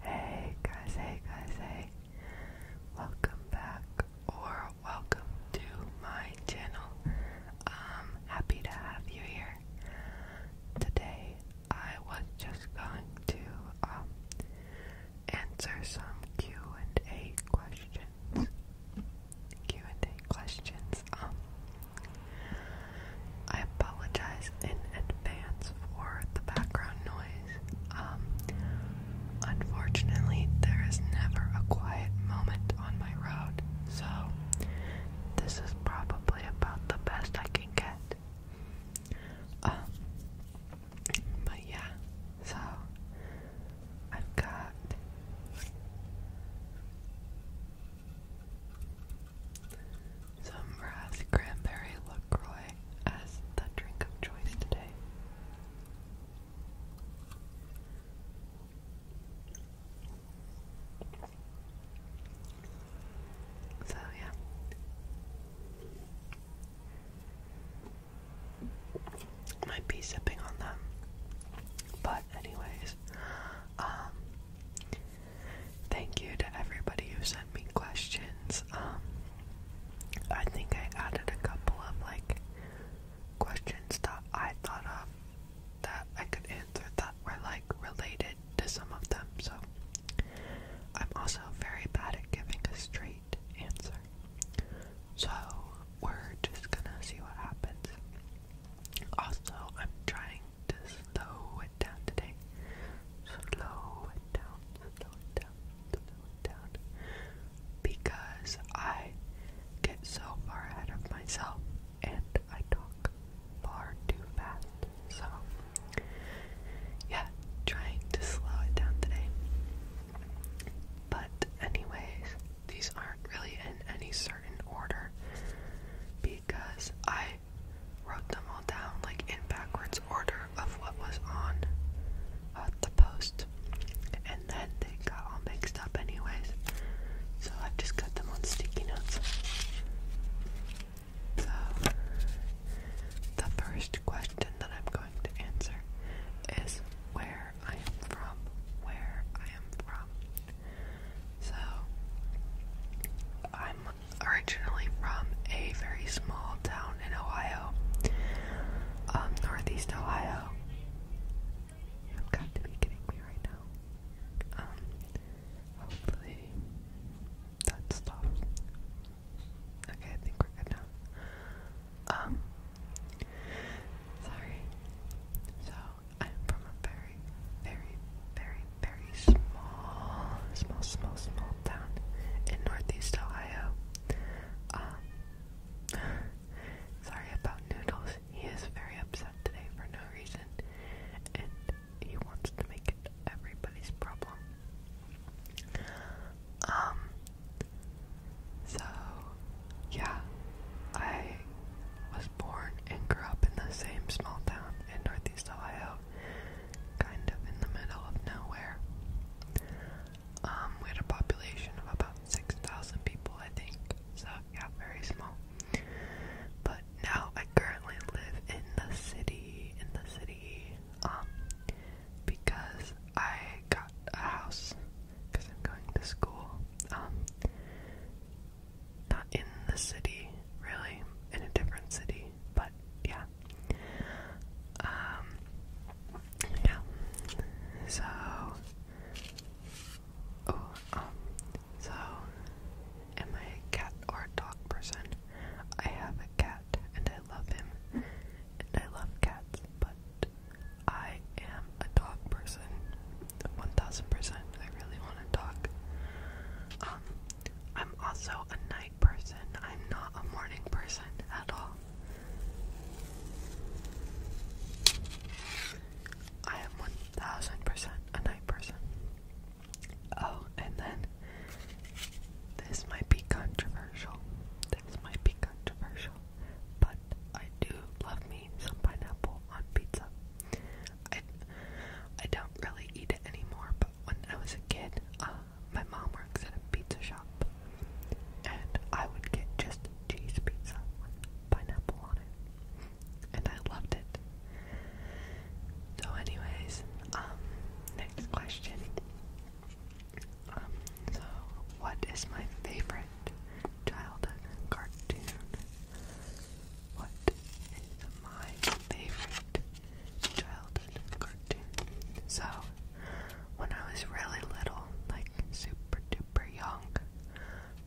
Hey guys, hey guys, hey. Welcome back or welcome to my channel. I'm um, happy to have you here. Today I was just going to um, answer some Q&A questions. Q&A questions. Um, I apologize in advance for the background noise. Um, unfortunately, there is never a quiet moment on my road, so this is probably about the best I can get. Um, but yeah, so I've got some Raz Cranberry LaCroix as the drink of choice today. So, yeah. I might be sipping on them. But anyways, um, thank you to everybody who sent me questions. Um, I think I added a couple of like questions that I thought of that I could answer that were like related to some of them. So I'm also very bad at giving a straight answer. So we're just gonna see what happens. Also, I'm trying to slow it down today. Slow it down, slow it down, slow it down. Because I get so far ahead of myself and I talk far too fast. So, yeah, trying to slow it down today. But, anyways, these aren't really in any certain order because I wrote them all down like in backwards order of what was on uh, the post, and then they got all mixed up, anyways. So I've just got them on sticky notes. So, the first question that I'm going to answer is where I am from. Where I am from. So, I'm originally from a very small town in Ohio, um, Northeast Ohio. You've got to be kidding me right now. Um, hopefully that stops. Okay, I think we're good now. Um, sorry. So, I'm from a very, very, very, very small, small, small, small town in Northeast Ohio. Um, sorry about Noodles. He is very upset today for no reason, and he wants to make it everybody's problem. Um, so, yeah, I was born and grew up in the same small town in Northeast Ohio, kind of in the middle of nowhere. Um, we had a population of about 6,000 people, I think, so yeah, very small. But now I currently live in the city, in the city, um, because I I got a house because I'm going to school. Um, not in the city, really, in a different city, but yeah. Um, yeah. So, oh, um, so, am I a cat or a dog person? I have a cat and I love him, and I love cats, but I am a dog person. 1000%. I really want a dog. Um, I'm also a night person. I'm not a morning person at all. I am 1000% a night person. Oh, and then this might be controversial. This might be controversial but I do love me some pineapple on pizza. I I don't really eat it anymore, but when I was a kid, uh, my mom works at a pizza shop, and I would get just cheese pizza with pineapple on it, and I loved it. So, anyways, um, next question. Um, so what is my favorite childhood cartoon? What is my favorite childhood cartoon? So, when I was really little, like super duper young,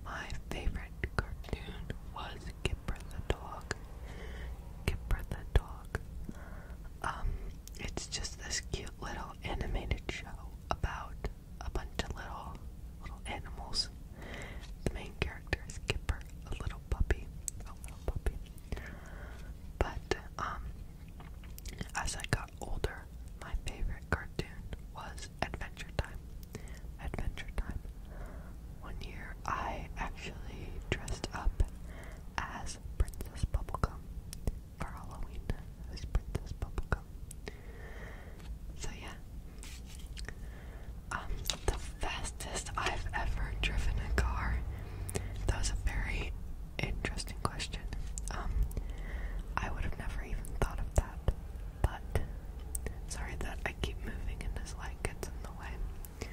my favorite cartoon was Gipper the Dog. Gipper the Dog. Um, it's just this cute little animated show about a bunch of little little animals. The main character is Kipper, a little puppy, a little puppy. But um, as I got older, my favorite cartoon was Adventure Time. Adventure Time. One year, I actually dressed up as Princess Bubblegum for Halloween as Princess Bubblegum. So yeah. Um, the fastest I've ever driven a car. That was a very interesting question. Um, I would have never even thought of that. But sorry that I keep moving and this light gets in the way.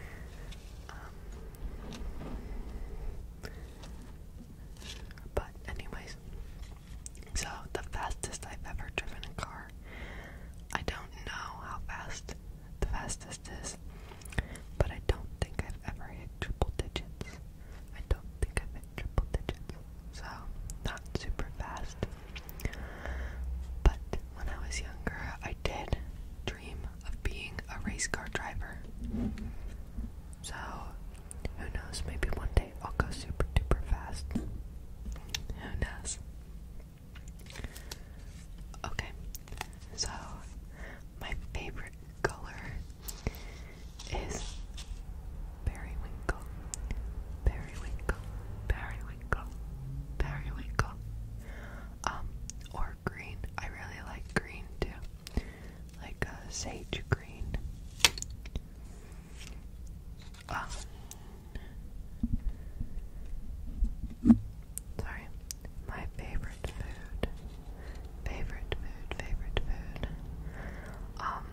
Um, but anyways, so the fastest I've ever driven a car. I don't know how fast the fastest is, but I don't think I've ever hit triple digits. I don't think I've hit triple digits. So not super fast. But when I was younger, I did dream of being a race car driver. So who knows? Maybe one day I'll go super duper fast. Who knows? Okay, so my favorite color is periwinkle, periwinkle, periwinkle, periwinkle, um, or green. I really like green too like a sage green. Um, sorry, my favorite food, favorite food, favorite food. Um,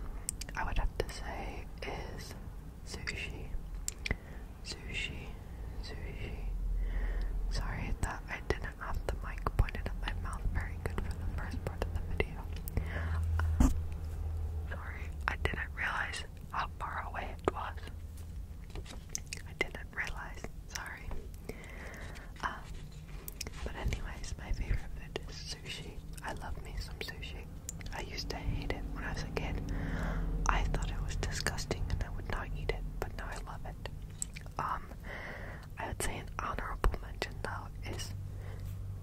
I would have to say is sushi, sushi, sushi. Sorry that I did not have the mic pointed at my mouth very good for the first part of the video. Um, sorry, I didn't realize how far away it was. I didn't realize, sorry. Um, but anyways, my favorite is sushi. I love me some sushi. I used to hate it when I was a kid. I thought it was disgusting and I would not eat it, but now I love it. Um, I would say an honorable mention though is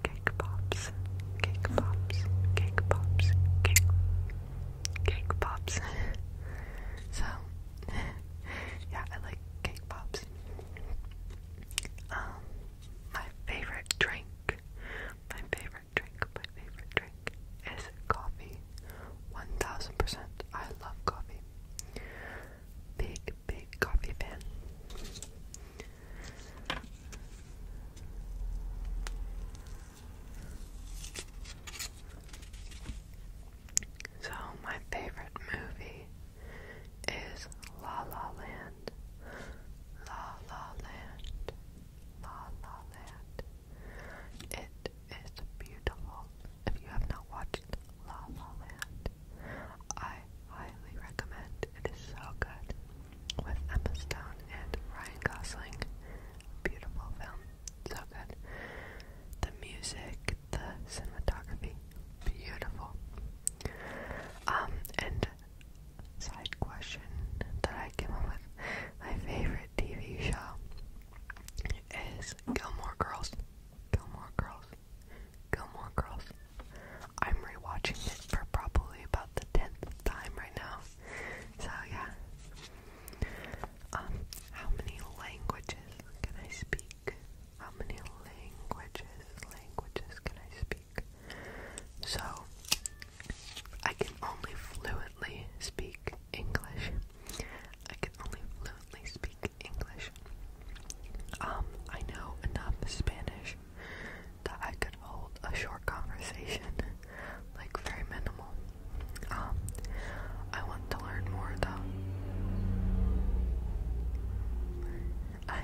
cake pops, cake pops, cake pops, cake, cake pops. so yeah, I like cake pops. Um, my favorite drink, my favorite drink, my favorite drink is coffee. One thousand percent, I love coffee. Big, big, coffee fan. So, my favorite movie is La La Land. La La Land. La La Land. It is beautiful. If you have not watched La La Land, I highly recommend. It is so good. With Emma Stone and Ryan Gosling. Beautiful film. So good. The music, the cinematography, beautiful. Um, and side question that I came up with, my favorite TV show is Gilmore Girls. Gilmore Girls. Gilmore Girls. I'm rewatching it for probably about the tenth time right now. So yeah. Um, how many languages can I speak? How many languages, languages can I speak? So, I can only fluently speak English. I can only fluently speak English. Um, I know enough Spanish that I could hold a short conversation, like very minimal. Um, I want to learn more though. I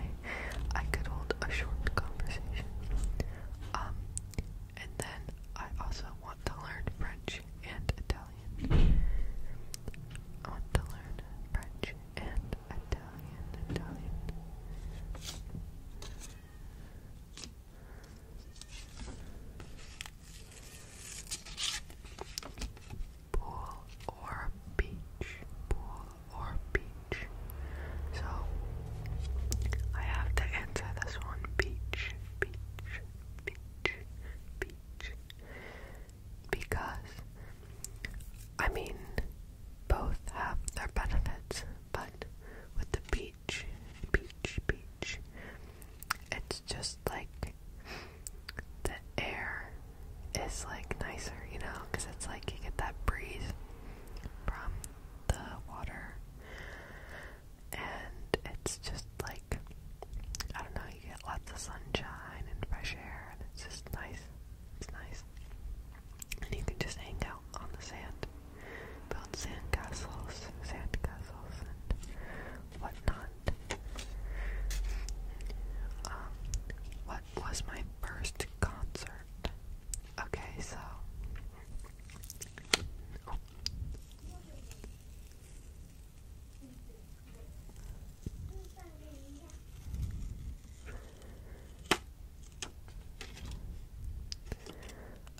I could hold a short conversation. Um, and then I also want to learn French and Italian. Italian. I want to learn French and Italian, Italian. Pool or beach, pool or beach. So I have to answer this one beach, beach, beach, beach because I mean both have their benefits, but with the beach, beach, beach, it's just like the air is like nicer, you know, because it's like you get that breeze from the water, and it's just like I don't know, you get lots of sunshine and fresh air, and it's just nice. It's nice. And you can just hang out on the sand, build sand castles, and whatnot. Um, what was my first concert? Okay, so. Oh.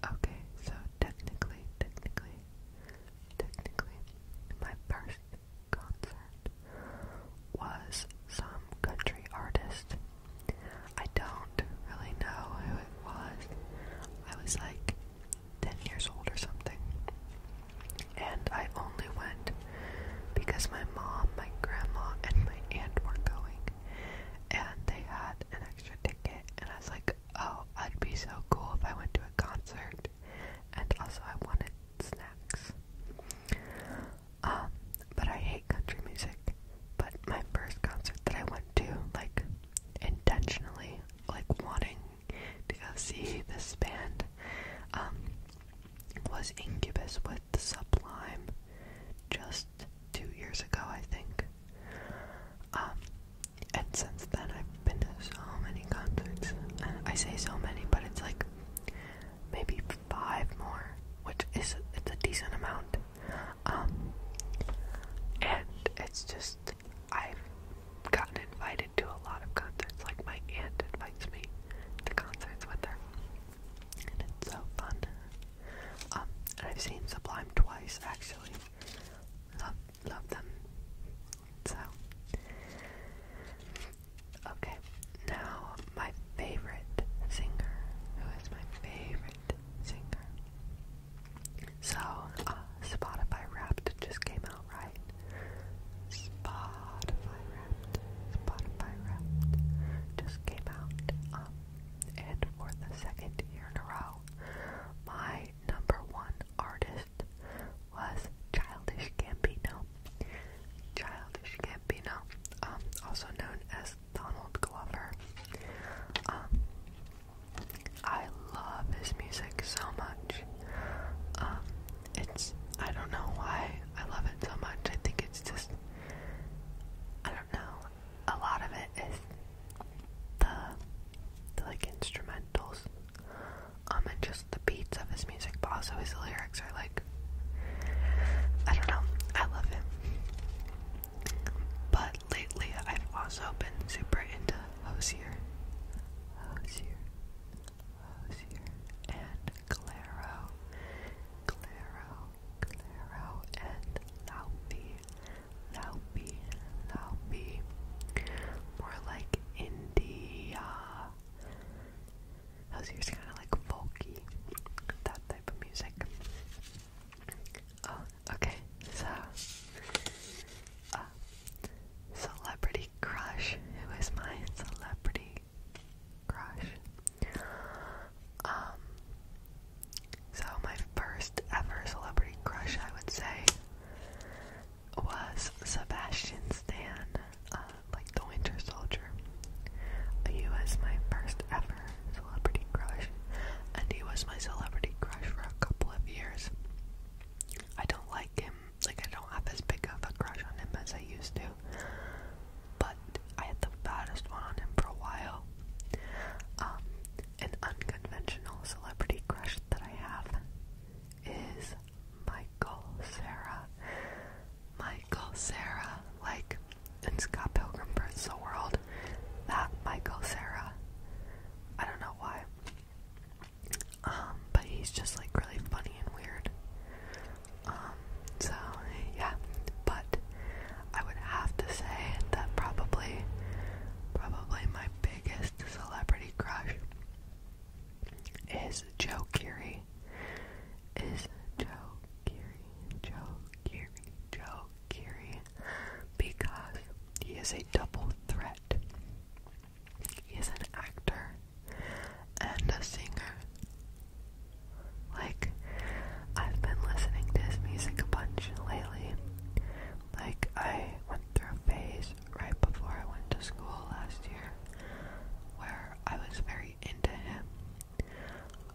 Okay, so technically, technically, technically, my first concert was some country artist. I don't really know who it was. I was like 10 years old or something. And I only went because my mom, my grandma, and my aunt were going. And they had an extra ticket. And I was like, oh, I'd be so cool if I went to a concert. And also, I wanted snacks. Um, but I hate country music. But my first concert that I went to, like, intentionally, like, wanting to go see this band um, was Incubus with Sublime just two years ago, I think. Um, and since then, I've been to so many concerts. I say so many, but it's like maybe five more, which is it's a decent amount. Um, and it's just I've gotten invited to a lot of concerts. Like my aunt invites me to concerts with her, and it's so fun. Um, I've seen Sublime twice actually. Love, love them. So, okay. Now my favorite singer. Who is my favorite singer? So, uh, Spotify Wrapped just came out, right? Spotify Wrapped, Spotify Wrapped just came out. Um, and for the second year in a row, my number one artist was Childish Gambino. Childish Gambino, um, also known as Donald Glover. Um, I love his music so much. Um, it's I don't know why I love it so much. I think it's just I don't know. A lot of it is the, like instrumentals, um, and just the beats of his music. But also his lyrics are like I don't know. I love him. But lately, I've also been super into Hosier. Hosier, Hosier, and Claro, Claro, Claro, and Laupy, Laupy, Laupy. More like India. Hosier's kind of like folky, that type of music. Oh, okay, so. Uh, celebrity crush. Who is my celebrity crush? Um, so my first ever celebrity crush, I would say, was Sebastian Stan, uh, like the Winter Soldier. He was my first ever celebrity crush, and he was my celebrity crush for a couple of years. I don't like him. Like I don't have as big of a crush on him as I used to. But I had the baddest one on him for a while. Um, an unconventional celebrity crush that I have is Michael Sarah. Michael Sarah, like in Scott Pilgrim vs. the World. That Michael Sarah. I don't know why. Um, but he's just like really funny and weird. Um, so yeah, but I would have to say that probably, probably my biggest celebrity crush is Joe Keery. Is Joe Keery? Joe Keery? Joe Keery? because he is a double threat. He is an actor and a singer. Like, I've been listening to his music a bunch lately. Like, I went through a phase right before I went to school last year where I was very into him.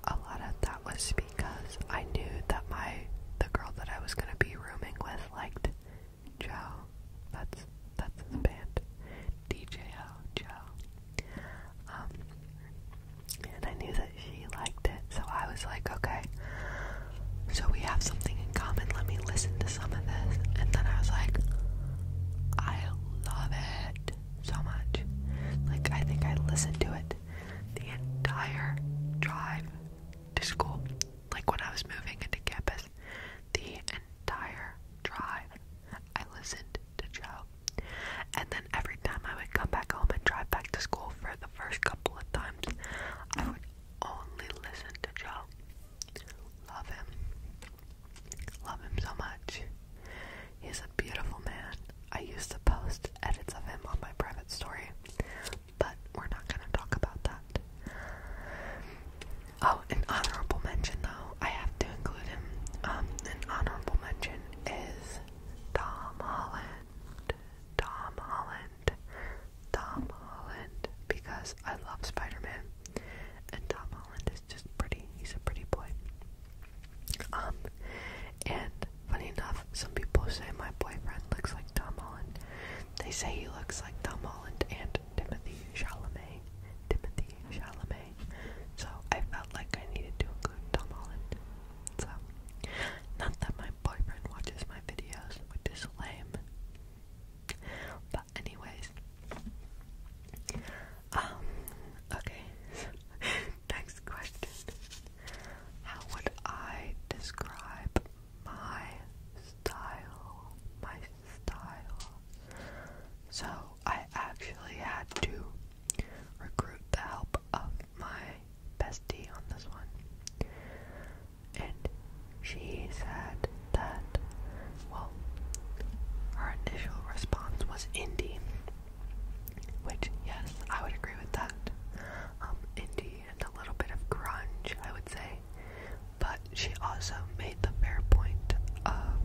A lot of that was because I knew that my the girl that I was gonna be rooming with liked Joe. That's that's his band. DJO Joe. Um and I knew that she liked it, so I was like, okay, so we have something in common, let me listen to some of this. And then I was like, I love it so much. Like, I think I listened to it the entire drive to school like when I was moving into campus, the entire drive I listened to Joe. And then every time I would come back home and drive back to school for the first couple of times, I would only listen to Joe. Love him. Love him so much. He's a beautiful man. I used to post edits of him on my private story but we're not gonna talk about that. Oh, an honorable mention though, I have to include him. Um, an honorable mention is Tom Holland. Tom Holland. Tom Holland. Because I love Spider Man. And Tom Holland is just pretty. He's a pretty boy. Um, and funny enough, some people say my boyfriend looks like Tom Holland. They say he looks like Tom Holland and Timothy Chalamet. Timothy Chalamet. So I felt like I needed to include Tom Holland. So, not that my boyfriend watches my videos, which is lame. But anyways, um, okay. Next question. How would I describe my style? My style. So I actually had to recruit the help of my bestie on this one. And she said that, well, her initial response was indie, which, yes, I would agree with that. Um, indie a little bit of grunge, I would say. But she also made the fair point of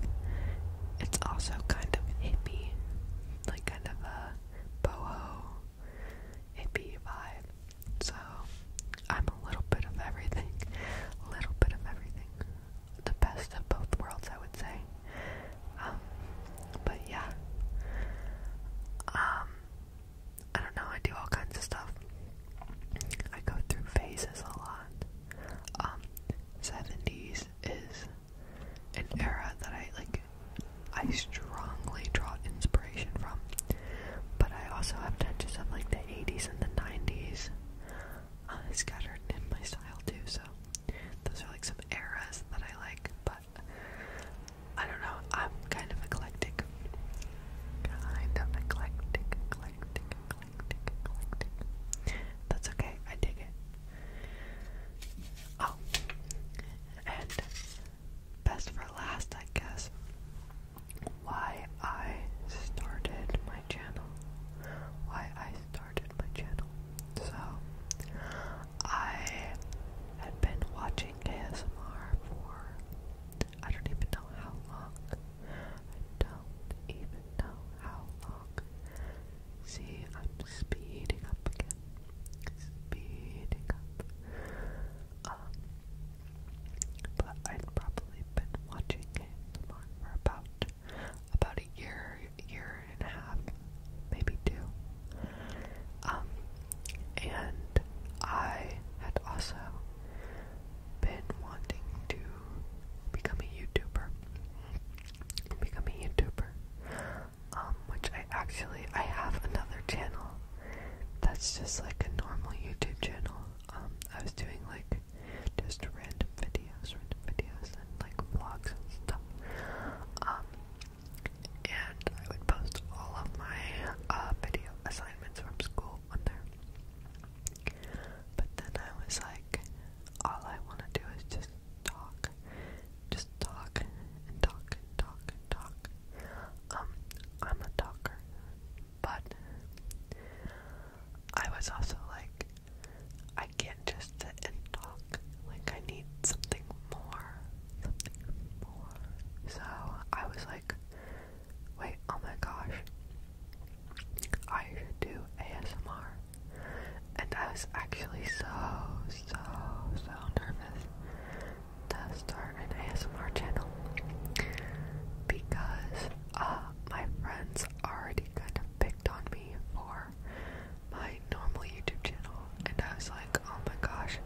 it's also kind of hippie, like kind of a boho hippie vibe. So I'm a little bit of everything, little bit of everything, the best of both worlds, I would say. Um, but yeah, um, I don't know, I do all kinds of stuff. I go through phases a lot. 70s um, is an era that I like I strongly draw inspiration from. But I also have touches of like the 80s and the 90s uh, scattered in my style too, so those are like some eras that I like, but I don't know. I'm kind of eclectic. Kind of eclectic, eclectic, eclectic, eclectic. That's okay. I dig it. Oh, and best for last, I guess. Why I started my channel. Why I started my channel. So, I I've been watching ASMR for I don't even know how long. I don't even know how long. See, I'm speeding up again. Speeding up. Um, but I'd probably been watching ASMR for about about a year, year and a half, maybe two. Um, and I had also been wanting to become a YouTuber. Become a YouTuber. Um, which I actually I have another channel that's just like a normal YouTube channel. Um, I was doing like just random videos, random videos and like vlogs and stuff. Um, and I would post all of my uh, video assignments from school on there. But then I was like, all I want to do is just talk, just talk and talk talk talk. Um, I'm a talker, but I was also like, I can't just sit and talk. Like I need something more. So I was like, wait, oh my gosh, I should do ASMR. And I was actually so, so, so nervous to start an ASMR channel because uh, my friends already kind of picked on me for my normal YouTube channel, and I was like, oh my gosh,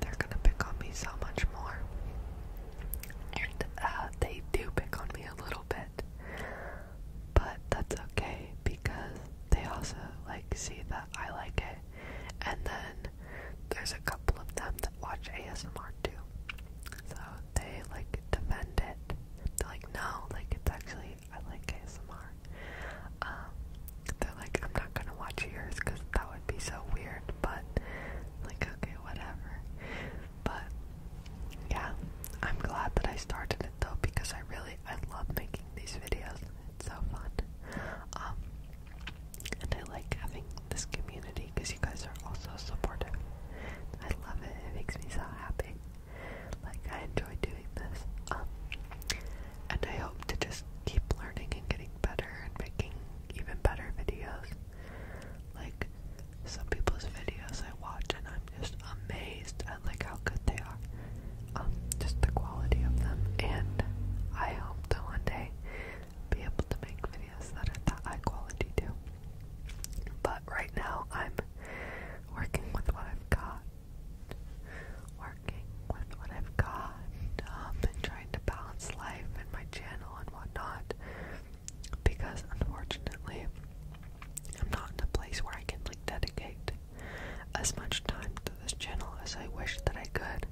they're gonna pick on me so much more. And uh, they do pick on me a little bit, but that's okay because they also like see that I like it, and then there's a couple of them that watch ASMR too, so they like defend it. They're like, no, like it's actually I like ASMR. Um, they're like, I'm not gonna watch yours because that would be so weird, but like, okay, whatever. But yeah, I'm glad that I started it though because I really, I love making these videos. It's so fun. Um, and I like having this community because you guys are also supportive. I love it. It makes me so happy. Like I enjoy doing this. Um, and I hope to just keep learning and getting better and making even better videos. Like some people's videos I watch and I'm just amazed at like how good they are. Um, just the quality of them and I hope to one day be able to make videos that are that high quality too. But right now I'm working with what I've got working what I've got um, and trying to balance life and my channel and whatnot because unfortunately I'm not in a place where I can like dedicate as much time to this channel as I wish that I could.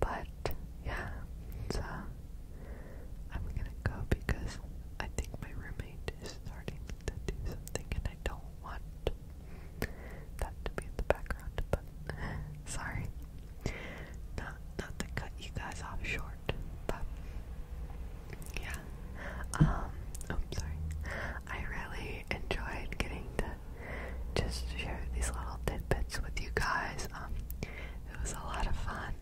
But yeah, so I'm gonna go because I think my roommate is starting to do something I don't want that to be in the background, but sorry. Not not to cut you guys off short, but yeah. Um oh sorry. I really enjoyed getting to just share these little tidbits with you guys. Um it was a lot of fun.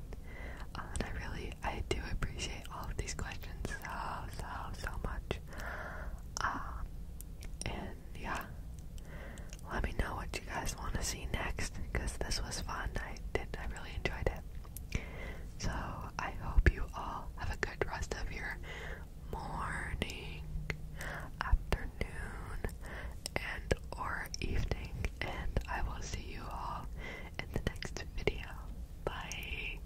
Uh, and I really I do appreciate all of these questions so so so much. Uh, and yeah, let me know what you guys want to see next because this was fun. I did, I really enjoyed it. So I hope you all have a good rest of your morning, afternoon, and or evening, and I will see you all in the next video. Bye.